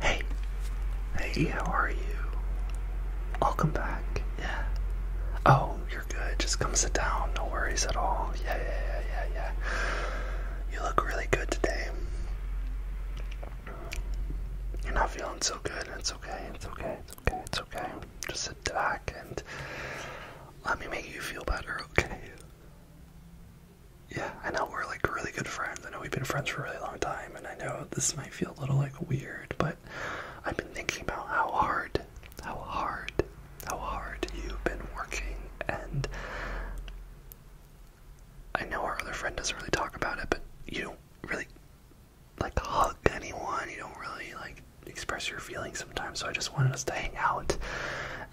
Hey, hey, how are you? I'll come back. Yeah. Oh, you're good. Just come sit down. No worries at all. Yeah, yeah, yeah, yeah, yeah. You look really good today. You're not feeling so good. It's okay. It's okay. It's okay. It's okay. Just sit back and let me make you feel better. Okay yeah, I know we're like really good friends. I know we've been friends for a really long time, and I know this might feel a little like weird, but I've been thinking about how hard, how hard, how hard you've been working, and I know our other friend doesn't really talk about it, but you don't really like hug anyone, you don't really like express your feelings sometimes, so I just wanted us to hang out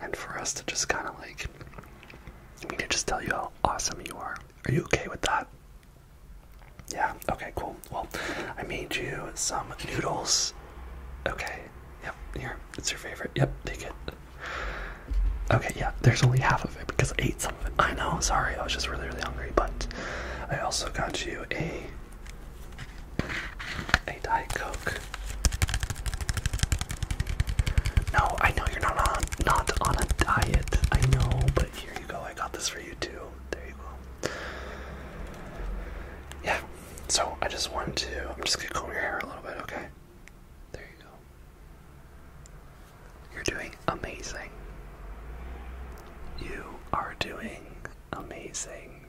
and for us to just kind of like we can just tell you how awesome you are. Are you okay with that? Yeah, okay, cool. Well, I made you some noodles. Okay, yep, here, it's your favorite. Yep, take it. Okay, yeah, there's only half of it because I ate some of it. I know, sorry, I was just really, really hungry, but I also got you a a Diet Coke. No, I know you're not on not on a diet. I know, but here you go. I got this for you too. There you go. Yeah. So I just wanted to. I'm just gonna comb your hair a little bit, okay? There you go. You're doing amazing. You are doing amazing.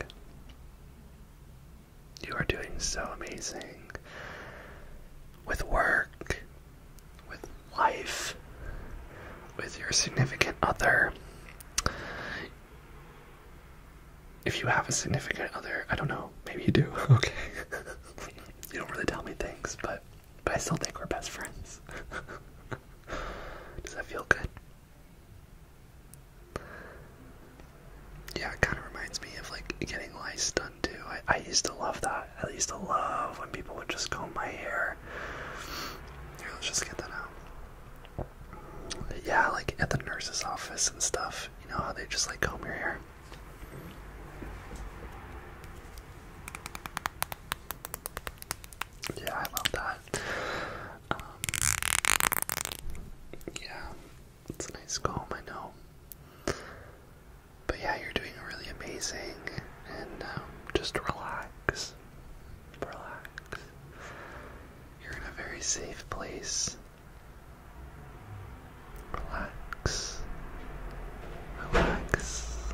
You are doing so amazing with work, with life, with your significant other. If you have a significant other, I don't know, maybe you do, okay. you don't really tell me things, but but I still think we're best friends. Does that feel good? Yeah, it kind of reminds me of like getting lice done done I, used to love that. I used to love when people would just comb my hair. Here, let's just get that out. Yeah, like at the nurse's office and stuff. You know how they just like comb your hair. Yeah, I love that. Um, yeah, it's a nice calm, I know. But yeah, you're doing really amazing, and um, just relax. Relax. You're in a very safe place. Relax. Relax.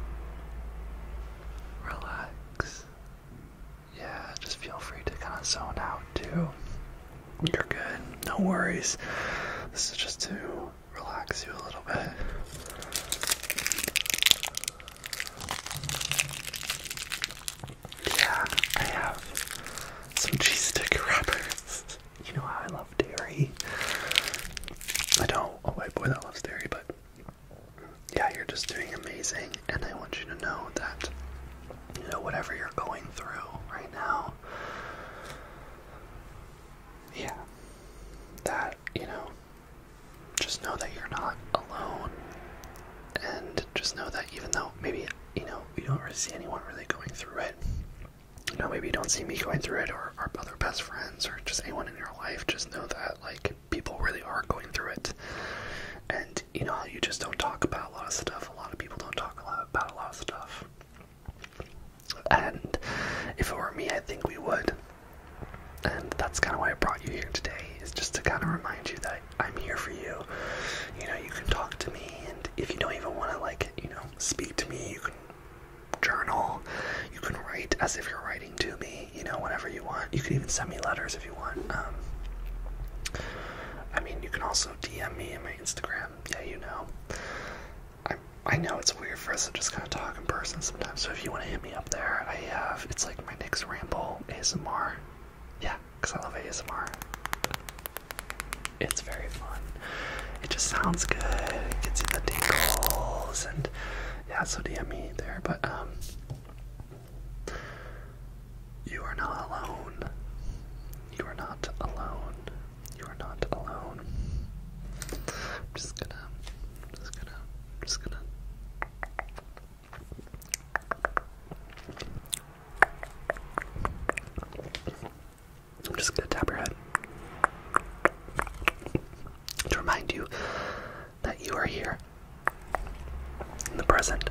Relax. Yeah, just feel free to kind of zone out too. You're good. No worries. This is just to relax you a little bit. Yeah, I have some cheese stick wrappers. You know how I love dairy. I know a white boy that loves dairy, but yeah, you're just doing amazing, and I want you to know that you know whatever you're going through right now yeah, that, you know, just know that you're not alone. And just know that even though maybe, you know, you don't really see anyone really going through it, you know, maybe you don't see me going through it or our other best friends or just anyone in your life, just know that, like, people really are going through it. And, you know, you just don't talk about a lot of stuff. A lot of people don't talk a lot about a lot of stuff. And if it were me, I think we would. And that's kind of why I brought you here today, is just to kind of remind you that I'm here for you. You know, you can talk to me, and if you don't even want to, like, you know, speak to me, you can journal, you can write as if you're writing to me, you know, whatever you want. You can even send me letters if you want. Um, I mean, you can also DM me on my Instagram, yeah, you know. I I know it's weird for us to just kind of talk in person sometimes. So if you want to hit me up there, I have it's like my next ramble ASMR. Yeah, because I love ASMR. It's very fun. It just sounds good. It gets you the tingles and yeah. So DM me there, but um. You are not alone. You are not alone. You are not alone. I'm just gonna, just gonna, just gonna. I'm just gonna tap your head to remind you that you are here in the present.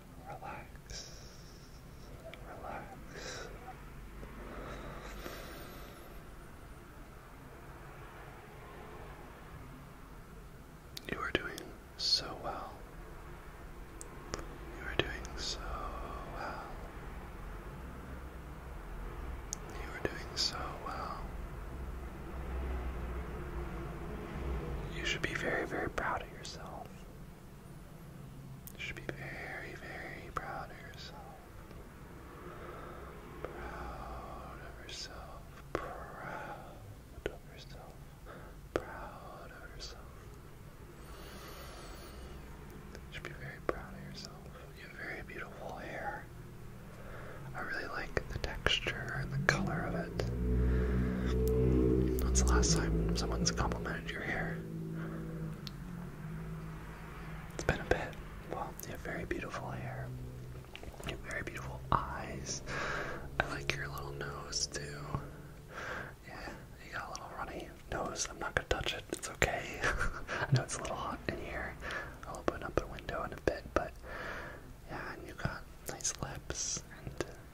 relax, relax. You are doing so well. You are doing so well. You are doing so well. You should be very, very proud of yourself. You should be very, very proud of yourself. Proud of yourself. Proud of yourself. Proud of yourself. should be very proud of yourself. You have very beautiful hair. I really like the texture and the color of it. When's the last time someone's complimented your hair? It's been a bit. Well, you have very beautiful hair. You have very beautiful eyes. I like your little nose too. Yeah, you got a little runny nose. I'm not gonna touch it. It's okay. I know it's a little hot in here. I'll open up a window in a bit, but yeah, and you got nice lips and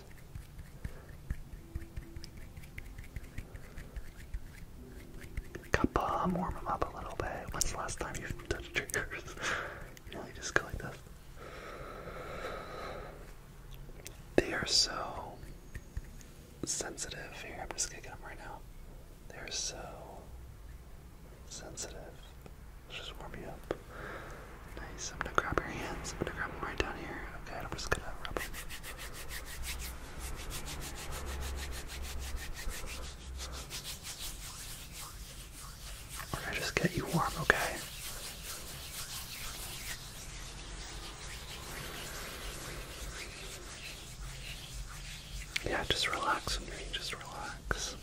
this. warm them up a little bit. When's the last time you touched triggers? you know, just go like this. They are so sensitive. Here, I'm just kicking them right now. They're so sensitive. Let's just warm you up. Nice. I'm gonna grab your hands. I'm gonna grab them right down here. Okay, I'm just gonna rub them. We're gonna just get you warm, okay? Yeah, just relax with me, just relax.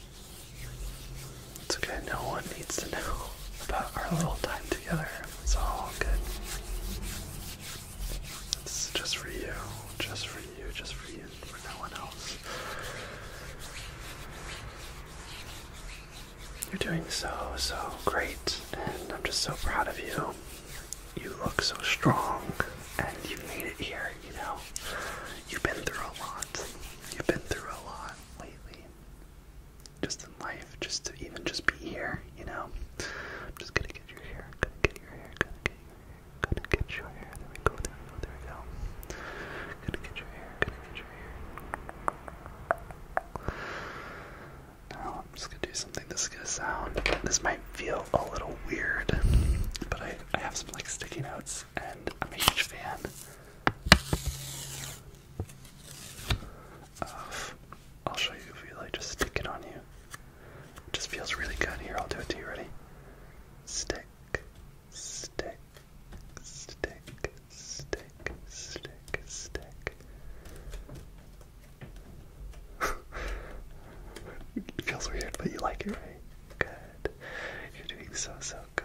It's okay, no one needs to know about our little time together. It's all good. It's just for you, just for you, just for you, and for no one else. You're doing so, so great, and I'm just so proud of you. You look so strong, and you made it here, you know. You've been through a lot. You've been through a lot lately, just in life, just to even just be here, you know? I'm just gonna get your hair, gonna get your hair, gonna get your hair, gonna get your hair. There we go, there we go, there we go. Gonna get your hair, gonna get your hair. Now I'm just gonna do something that's gonna sound this might feel a little weird, but I I have some like sticky notes and I'm a huge fan uh, I'll show you if you like just stick it on you. just feels really good. Here, I'll do it to you. Ready? Stick, stick, stick, stick, stick, stick. it feels weird, but you like it, right? Good. You're doing so so good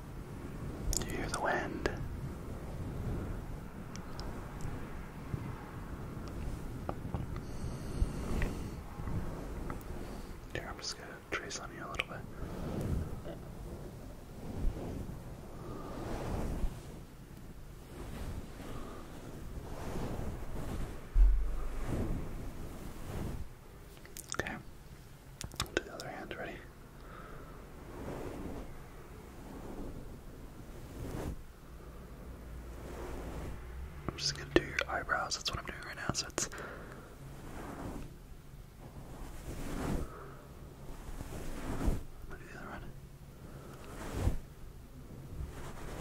You hear the wind. Here, I'm just gonna trace on you a little bit. Okay to the other hand, ready? I'm just gonna do your eyebrows, that's what I'm doing right now, so it's I'm gonna do the other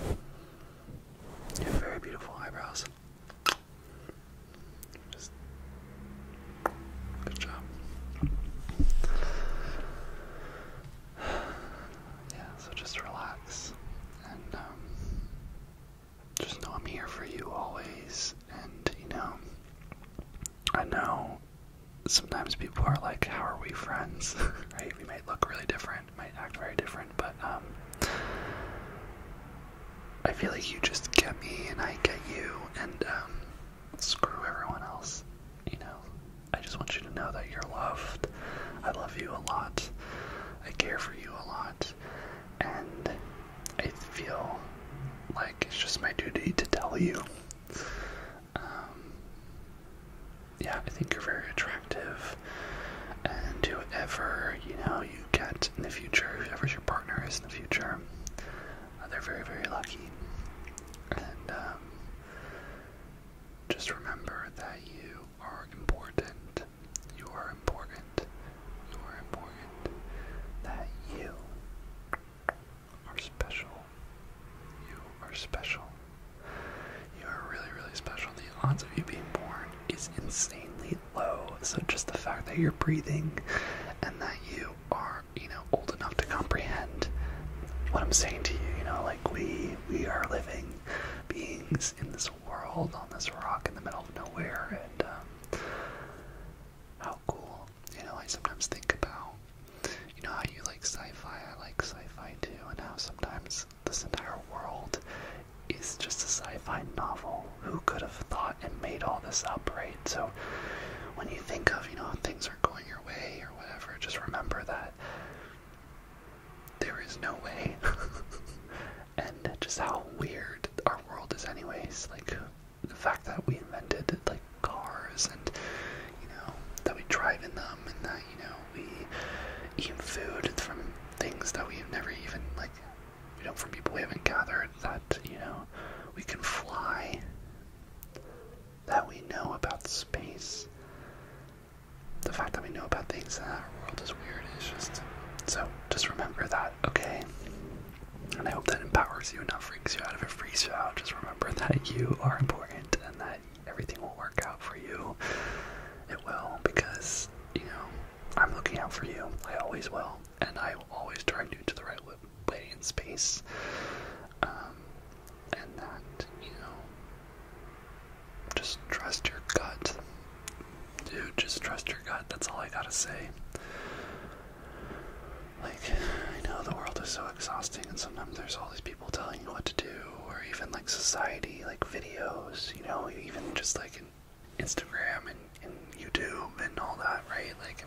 one. You have very beautiful eyebrows good job. Yeah, so just relax and um, just know I'm here for you always. And you know, I know sometimes people are like, "How are we friends?" right? We might look really different, might act very different, but um, I feel like you just get me and I get you and um, screw everyone else. You know, I just want you to know that you're loved. I love you a lot. I care for you a lot. And I feel like it's just my duty to tell you. Um, yeah, I think you're very attractive. And whoever, you know, you get in the future, whoever your partner is in the future. Uh, they're very, very lucky. And um, just remember that you are important. You are important. You are important. That you are special. You are special. You are really, really special. The odds of you being born is insanely so just the fact that you're breathing and that you are, you know, old enough to comprehend what I'm saying to you, you know, like we we are living beings in this world on this rock in the middle of nowhere and um, how cool. You know, I sometimes think about you know how you like sci-fi, I like sci-fi too, and how sometimes this entire world is just a sci-fi novel who could have thought and made all this up, right? So when you think of, you know, things are going your way or whatever, just remember that there is no way. and just how weird our world is anyways. Like the fact that we invented like cars and you know, that we drive in them and that, you know, we eat food from things that we've never even like you know, from people we haven't gathered that, you know, we can fly, that we know about space. The fact that we know about things in our world is weird. It's just so just remember that, okay? And I hope that empowers you and not freaks you out. If it freaks you out, just remember that you are important and that everything will work out for you. It will because, you know, I'm looking out for you. I always will and I will always direct you to the right way in space. Um, and that, you know, just trust your gut. Dude, just trust your gut. That's all I gotta say. Like, I know the world is so exhausting, and sometimes there's all these people telling you what to do, or even like society, like videos, you know, even just like Instagram and, YouTube and all that, right? Like,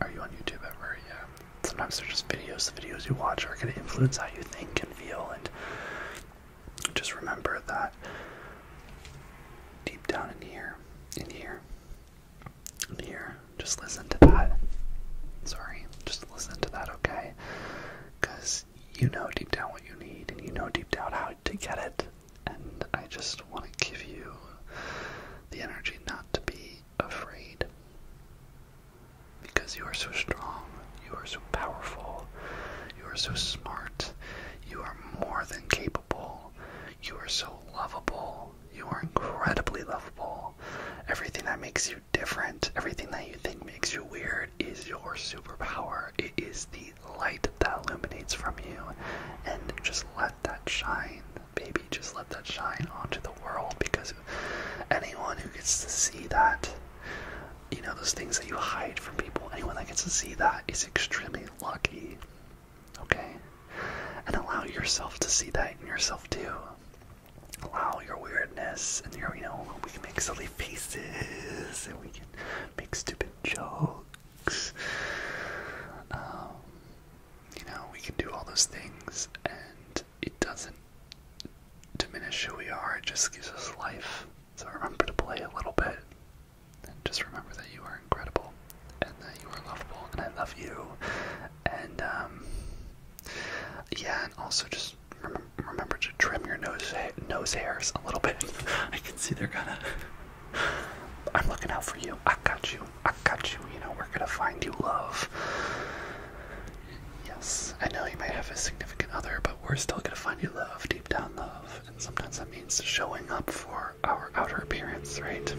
are you on YouTube ever? Yeah. Sometimes they're just videos. The videos you watch are going to influence how you think and feel. And just remember that deep down in here, in here, in here, just listen to that. Sorry, just listen to that, okay? Because you know deep down what you need and you know deep down how to get it and I just want to give you the energy not to be afraid. Because you are so strong, you are so powerful, you are so smart, you are more than capable, you are so lovable, you are incredibly lovable. Everything that makes you different, everything that you think makes you weird is your superpower. It is the light that illuminates from you and just let that shine, baby. Just let that shine onto the world because anyone who gets to see that, you know, those things that you hide from people, anyone that gets to see that is extremely lucky. Okay? And allow yourself to see that in yourself too. Allow your weirdness and your, you know, we can make silly faces and we can make stupid jokes Um, you know, we can do all those things, and it doesn't diminish who we are, it just gives us life. So remember to play a little bit, and just remember that you are incredible, and that you are lovable, and I love you. And, um, yeah, and also just remember to trim your nose, nose hairs a little bit. I can see they're kind of I'm looking out for you. I got you. I got you. You know, we're going to find you love. Yes, I know you may have a significant other, but we're still going to find you love, deep down love. And sometimes that means showing up for our outer appearance, right?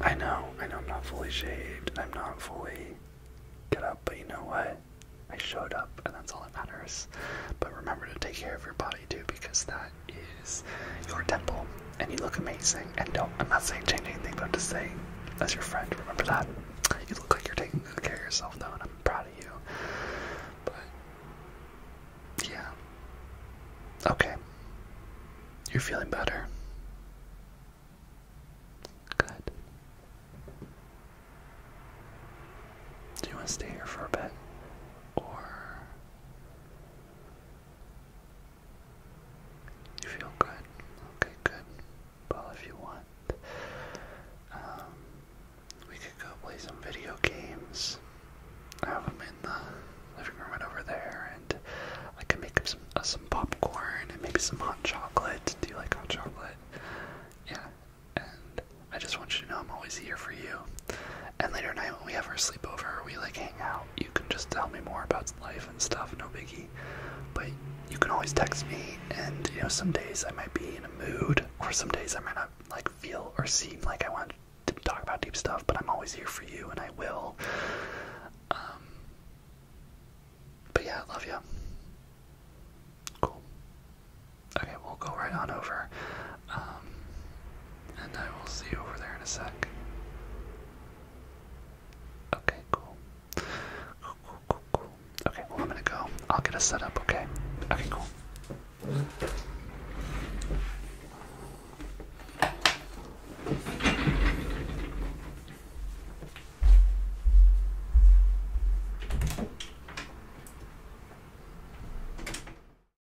I know. I know I'm not fully shaved. I'm not fully get up, but you know what? I showed up, and that's all that matters. But remember to take care of your body too, because that is your temple, and you look amazing. And don't, I'm not saying change anything, but I'm just saying, as your friend, remember that. You look like you're taking good care of yourself, though, and I'm proud of you. But, yeah. Okay. You're feeling better. Good. Do you want to stay here for a bit? Or you feel good? Okay, good. Well, if you want, um, we could go play some video games. I have them in the living room right over there, and I can make some uh, some popcorn and maybe some hot chocolate. Do you like hot chocolate? Yeah. And I just want you to know I'm always here for you. And later night when we have our sleepover, we like hang out. You can just tell me more about life and stuff, no biggie. But you can always text me, and you know some days I might be in a mood, or some days I might not like feel or seem like I want to talk about deep stuff. But I'm always here for you, and I will. Um, but yeah, love you. Cool. Okay, we'll go right on over. Um, and I will see you over there in a sec. Okay, cool. Cool, cool, cool, Okay, well, I'm gonna go. I'll get us set up, okay? Okay, cool.